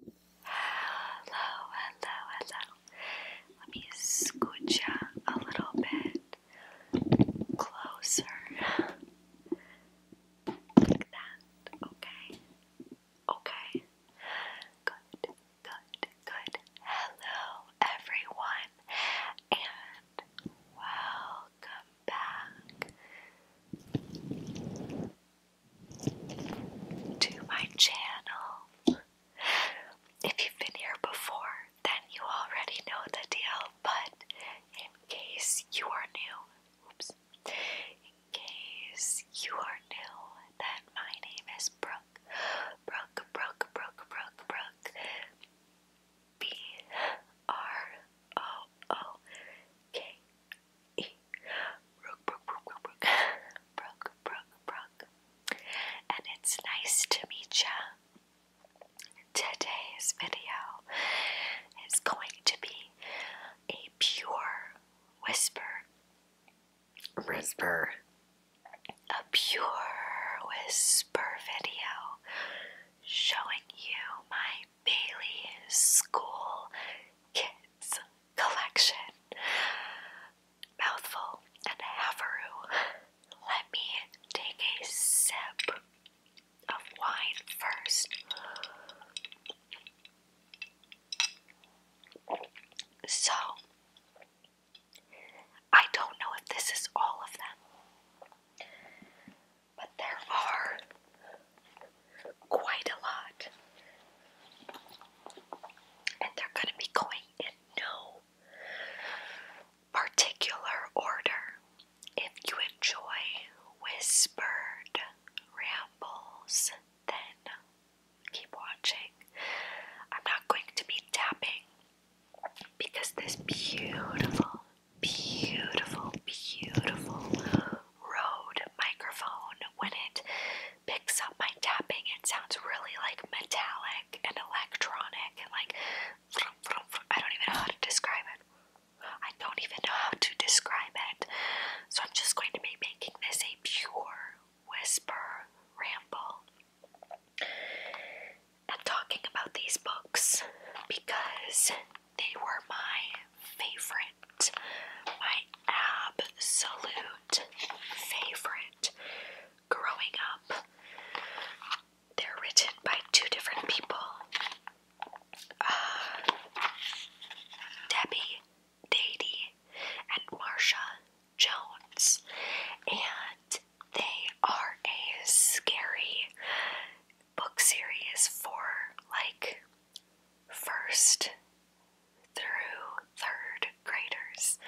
Hello, hello, hello. Let me scooch you a little bit closer. Okay. Okay. Good, good, good. Hello, everyone, and welcome back to my channel. If you've been here before, then you already know the deal, but in case you are new, oops, in case you are new, then my name is Brooke. Brooke, Brooke, Brooke, Brooke, Brooke. B R O O K Brook, brook, brook, brook, brook. Brook, brook, And it's nice to meet ya. Today's video is going to be a pure whisper. Whisper. A pure whisper video showing you my Bailey School Kids collection. Mouthful and haveroo. Let me take a sip of wine first. So, I don't know if this is all of them, but there are quite a lot. And they're going to be going in no particular order. If you enjoy whispered rambles, then keep watching. I'm not going to be tapping because this beautiful, beautiful, beautiful Rode microphone. When it picks up my tapping, it sounds really like metallic and electronic and like I don't even know how to describe it. I don't even know how to describe it. So I'm just going to be making this a pure whisper ramble and talking about these books because they were my favorite my absolute favorite growing up. They're written by two different people. Uh, Debbie Dady and Marsha Jones. And they are a scary, book series for like first through third graders.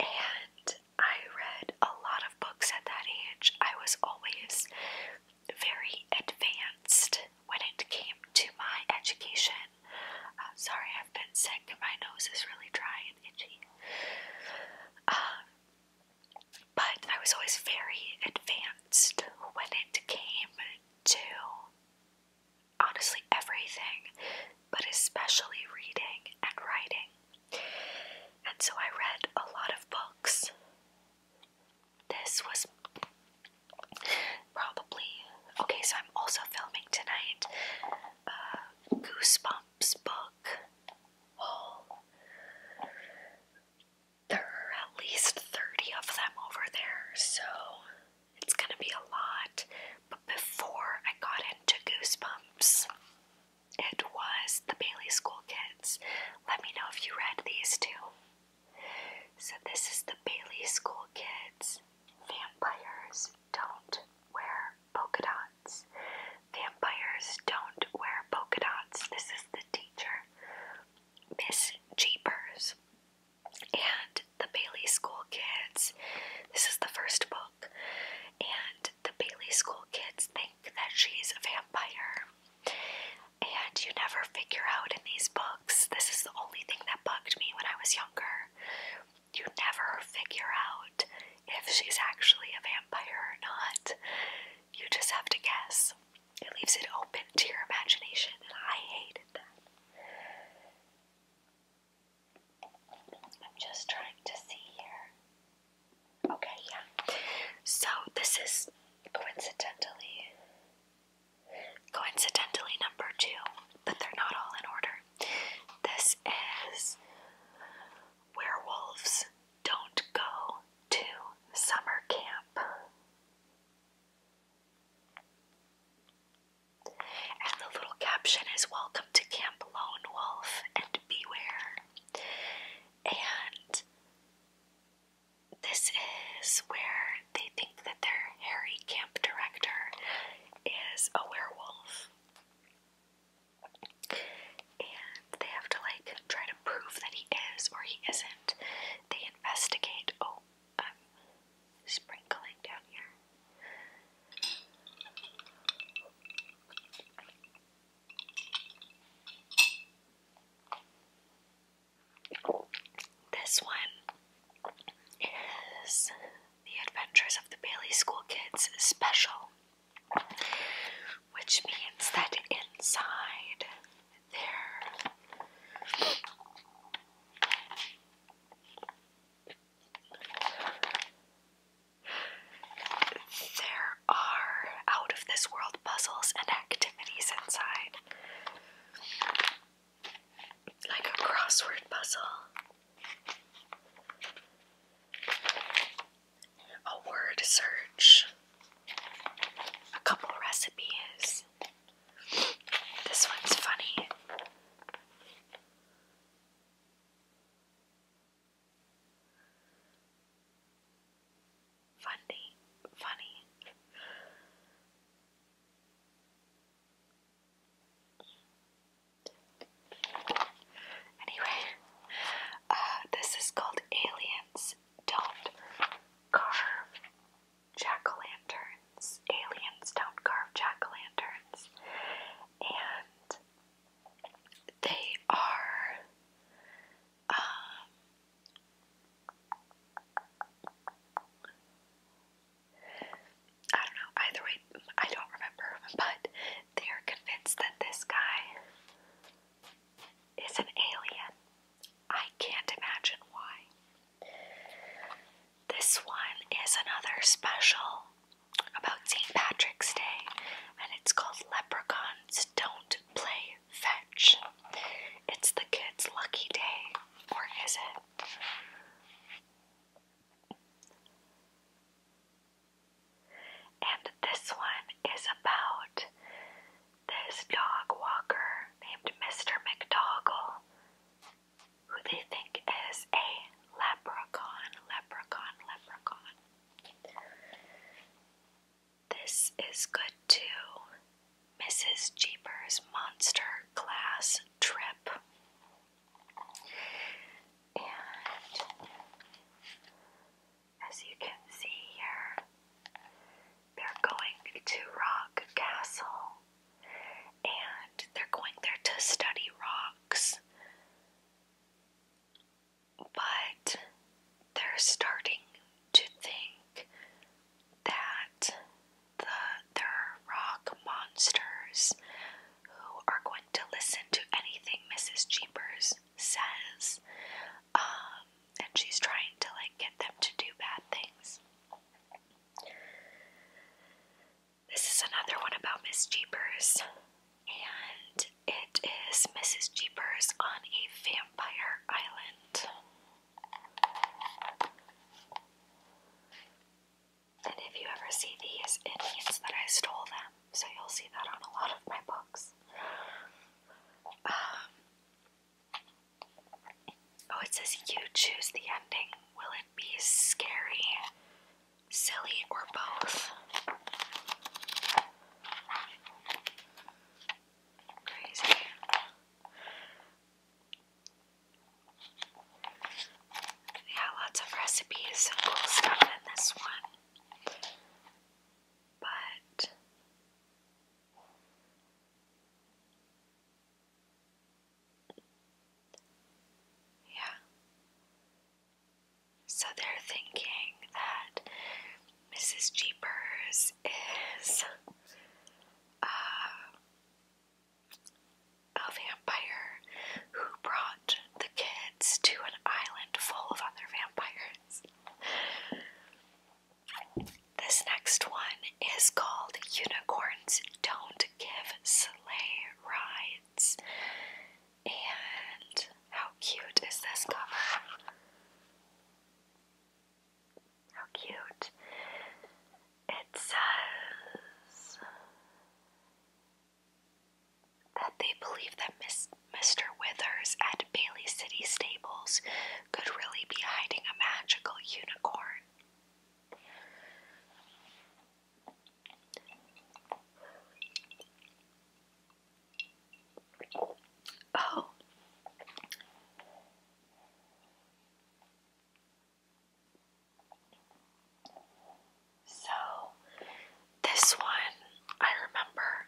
And I read a lot of books at that age. I was always very advanced when it came to my education. Uh, sorry, I've been sick. My nose is really dry and itchy. Uh, but I was always very advanced when it came to honestly everything, but especially reading and writing. And so I read a lot of books. This was probably okay, so I'm also filming tonight uh, Goosebumps book haul there are at least 30 of them over there, so it's gonna be a lot. But before I got into Goosebumps, it was the Bailey School Kids. Let me know if you read these two. So, this is the Bailey School Kids. Vampires don't wear polka dots. Vampires don't wear polka dots. This is the teacher. Miss Jeepers and the Bailey School Kids. This is the first book, and the Bailey School Kids think that she's a vampire. And you never figure out in these books, this is the only thing that bugged me when I was younger. You never figure out if she's actually a vampire or not. You just have to guess. It leaves it open to your imagination, and I hated that. I'm just trying to see here. Okay, yeah. So this is coincidentally coincidentally number two, but they're not all in order. This is werewolves don't go to summer camp. And the little caption is Welcome to Camp Lone Wolf and Beware. And this is where they think that their hairy camp director is a werewolf and they have to like try to prove that he is or he isn't. They investigate. Oh, I'm sprinkling down here. This one is The Adventures of the Bailey School Kids special which means that inside there there are out of this world puzzles and activities inside. Like a crossword puzzle a word search, a couple recipes. This one's funny. Funny, funny. Anyway, uh, this is called Aliens Don't Carve Jack O' Lanterns. Aliens Don't Carve Jack O' Lanterns. And they are. Um, I don't know, either way, I don't remember, but they are convinced that this guy is an alien. I can't imagine why. This one is another special about St. Patrick's Day, and it's called Leprechauns Don't Play Fetch. It's the kids' lucky day, or is it? And this one is about this dog walker named Mr. McDoggle, who they think is a leprechaun, leprechaun, leprechaun. This is good too. Mrs. Jeepers Monster Class Trip. And as you can see here, they're going to Rock Castle and they're going there to study rocks. But they're starting to think that the there rock monsters who are going to listen to anything Mrs. Jeepers says, um, and she's trying to like get them to do bad things. This is another one about Miss Jeepers, and it is Mrs. Jeepers on a vampire island. And if you ever see these, it means that I stole them so you'll see that on a lot of my books. Um, oh, it says you choose the ending. Will it be scary, silly, or both? Crazy. Yeah, lots of recipes and cool stuff in this one. But yeah. So they're thinking that Mrs. Jeepers is uh, a vampire who brought the kids to an island full of other vampires. This next one is called Unicorns Don't Give Sleigh Rides. And how cute is this cover? How cute. It says that they believe that Mr. Withers at Bailey City Stables could really be hiding a magical unicorn. Oh. So this one I remember,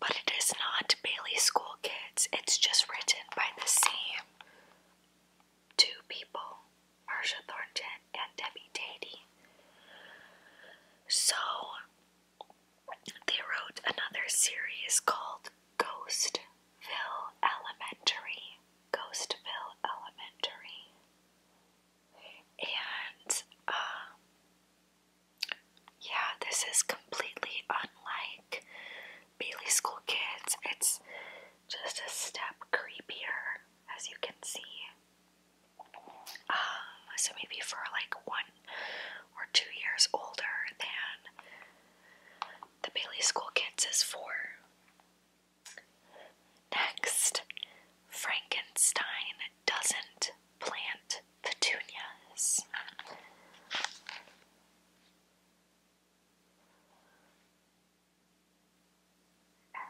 but it is not Bailey School Kids. It's just written by the same two people, Marcia Thornton and Debbie Tatey. So they wrote another series called Ghostville Elementary. Ghostville Elementary and um, yeah, this is completely unlike Bailey School Kids. It's just a step creepier, as you can see. Um, so maybe for like one or two years older than the Bailey School Kids is for. Next, Frankenstein doesn't plant petunias.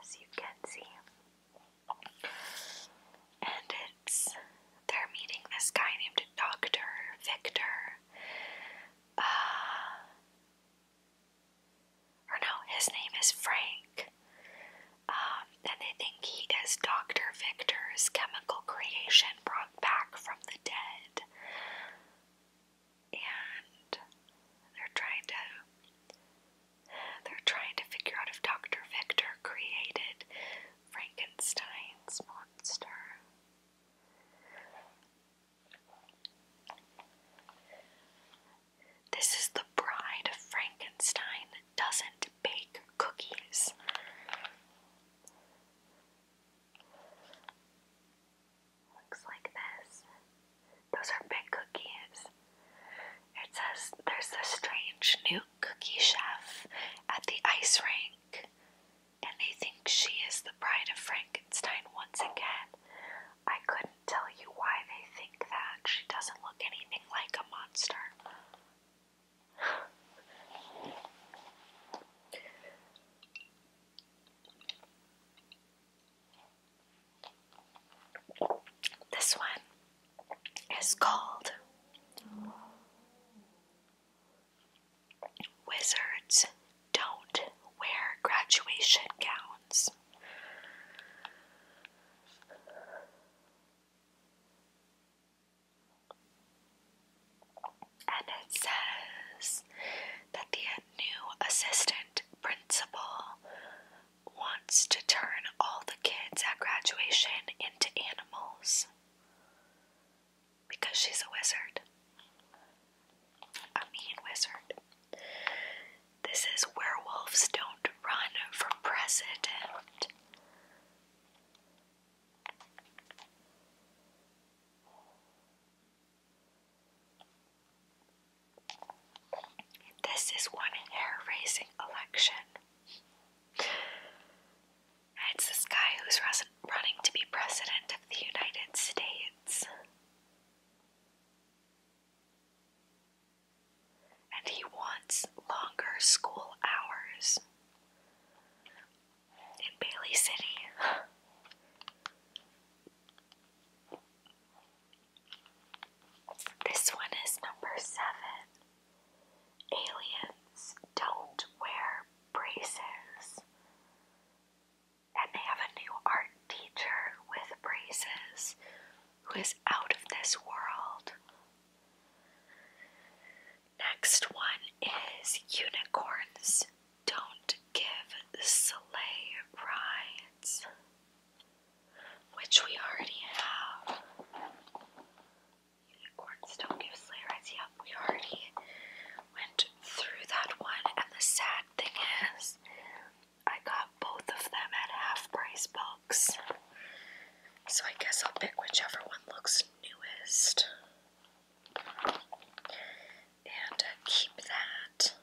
As you can see. And it's they're meeting this guy named Dr. Victor. Uh, or no, his name is Frank. Um, and they think he is Dr. Victor's chemical creation brought back from the dead. And they're trying to they're trying to figure out if Dr. Victor created Frankenstein's monster. This is the bride of Frankenstein that doesn't bake cookies. Looks like this. Those are big cookies. It says there's a strange new cookie chef at the ice rink, and they think she is the bride of Frankenstein once again. I couldn't tell you why they think that. She doesn't look anything like a monster. This one is called Wizards Don't Wear Graduation Gowns. And it says that the new assistant principal wants to turn all the kids at graduation into animals because she's a wizard a mean wizard. This is werewolves don't run for president. This is one hair raising election. It's this guy who's running to be president of the United States. And he wants longer school hours in Bailey City. This one is number seven. Aliens don't wear braces and they have a new art teacher with braces who is out of this world. Next one is unicorns don't give sleigh rides, which we already have. Unicorns don't give sleigh rides. Yep, we already went through that one, and the sad thing is, I got both of them at half price books. So I guess I'll pick whichever one looks newest and uh, keep that.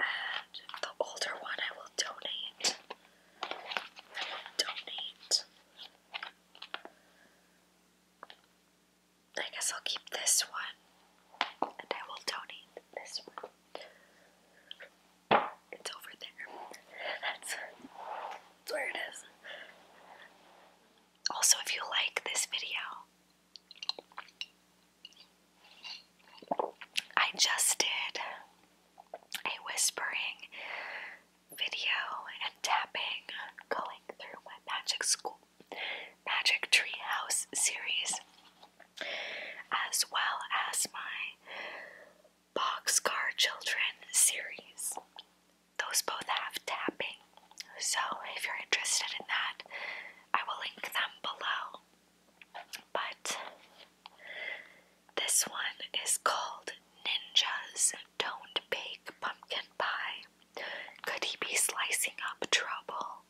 And the older one I will donate. I will donate. I guess I'll keep this one and I will donate this one. It's over there. That's, where it is. Also, if you like this video, I just did a whispering video and tapping going through my magic school Magic Tree House series, as well as my Boxcar Children series. Those both have tapping, so if you're interested in that, I will link them below. But this one is called Ninjas Don't Bake Pumpkin Pie. Could he be slicing up trouble?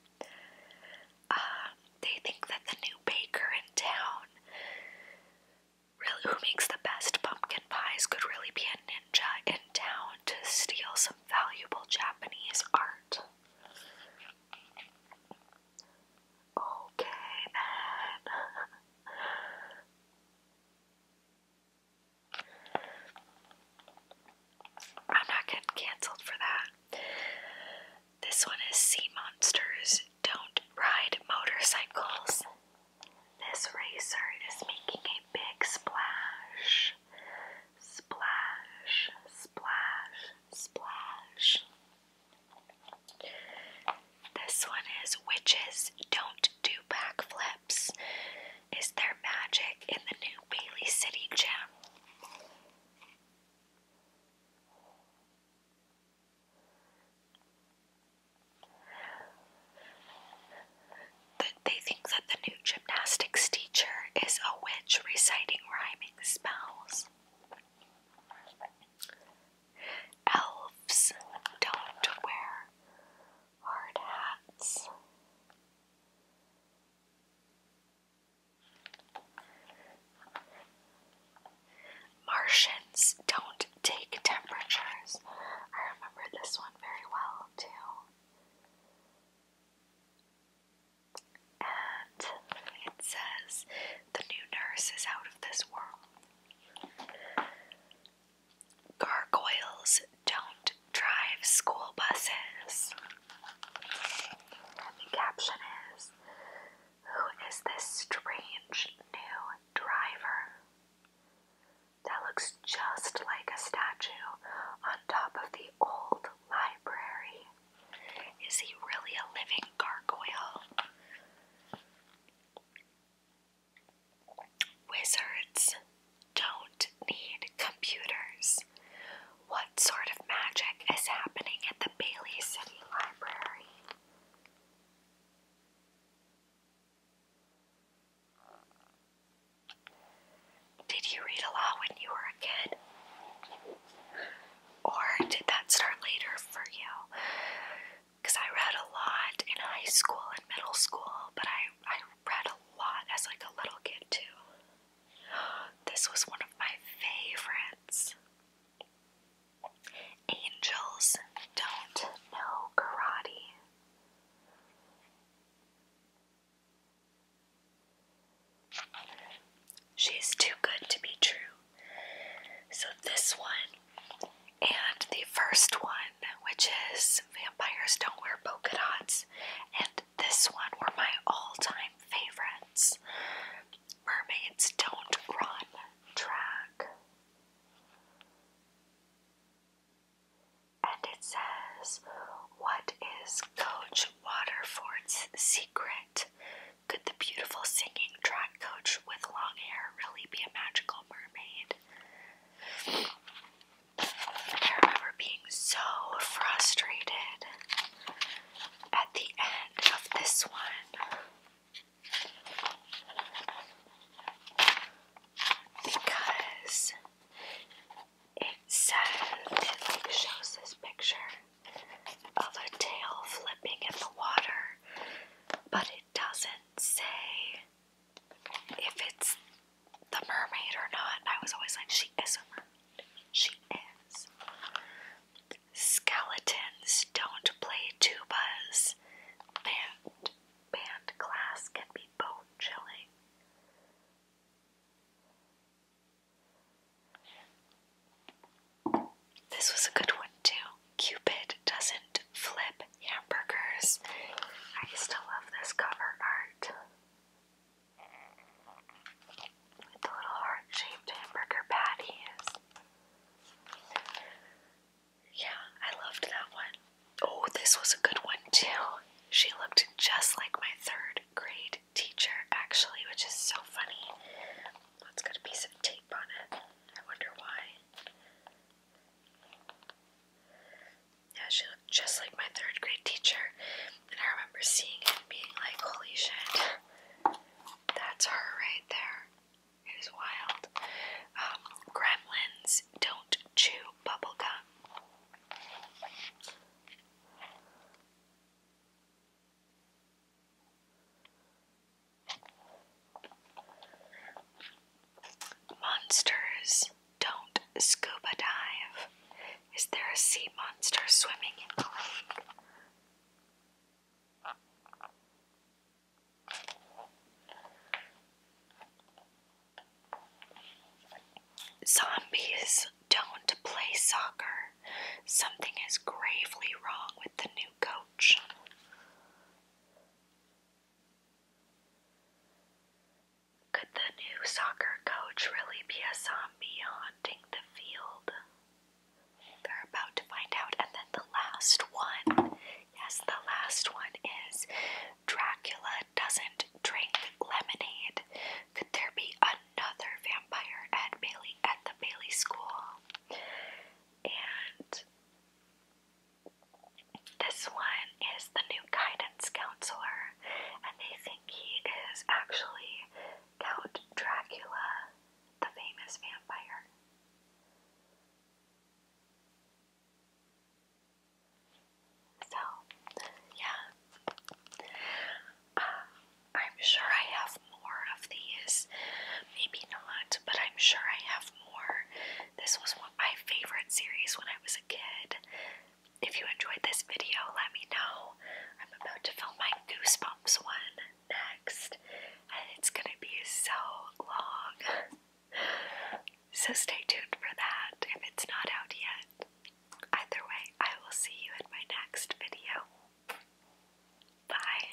Uh, they think that the new baker in town, who makes the best pumpkin pies, could really be a ninja in town to steal some valuable Japanese art. Okay, then. I'm not getting cancelled for that. This one is Sea Monsters Don't Ride Motorcycles. This racer is making a big splash. Splash, splash, splash. This one is Witches Don't Do Backflips. Is there magic in the new Bailey City gym? They think that the new gymnastics teacher is a witch reciting rhyming spells. Elves don't wear hard hats. Martians don't take temperatures. I remember this one very well, too. And it says, the new nurse is out of this world. Gargoyles don't drive school buses. the caption is Who is this strange new driver? That looks just like a statue on top of the old library. Is he really a living gargoyle? Wizards don't need computers. What sort of magic is happening at the Bailey City Library? Did you read a lot when you were a kid? Or did that start later for you? Because I read a lot in high school and middle school, but I, I read a lot as like a little kid too. This was one of my favorites. Angels don't know karate. She's too good to be true. So, this one and the first one, which is Vampires Don't Wear Polka Dots, and this one were my all time favorites Mermaids Don't Run track. And it says, What is Coach Waterford's secret? Could the beautiful singing track coach with long hair really be a magical mermaid? I remember being so frustrated at the end of this one because it says it like shows this picture of a tail flipping in the water, but it doesn't say if it's the mermaid or not. I was always like, she is a mermaid. She is. Skeletons don't play tubas. Band, band class can be bone chilling. This was a good one, too. Cupid doesn't flip hamburgers. I still love this cover art with the little heart shaped hamburger patties. Yeah, I loved that one. Oh, this was a good one too. She looked just like my third grade teacher, actually, which is so funny. Well, has got a piece of tape on it. I wonder why. Yeah, she looked just like my third grade teacher, and I remember seeing it being like, holy shit, that's her right there. It was wild. Um, gremlins don't chew bubblegum. Monsters don't scuba dive. Is there a sea monster swimming in the lake? Zombies don't play soccer. Something is gravely wrong with the new coach. Could the new soccer coach really be a zombie haunting the field? They're about to find out. And then the last one yes, the last one is Dracula doesn't drink lemonade. Could there be another vampire at Bailey at the Bailey School? And this one is the new guidance counselor, and they think he is actually Count Dracula, the famous vampire. So, yeah. Uh, I'm sure I have more of these. Maybe not, but I'm sure I have this was one, of my favorite series when I was a kid. If you enjoyed this video, let me know. I'm about to film my Goosebumps one next, and it's gonna be so long. so stay tuned for that if it's not out yet. Either way, I will see you in my next video. Bye.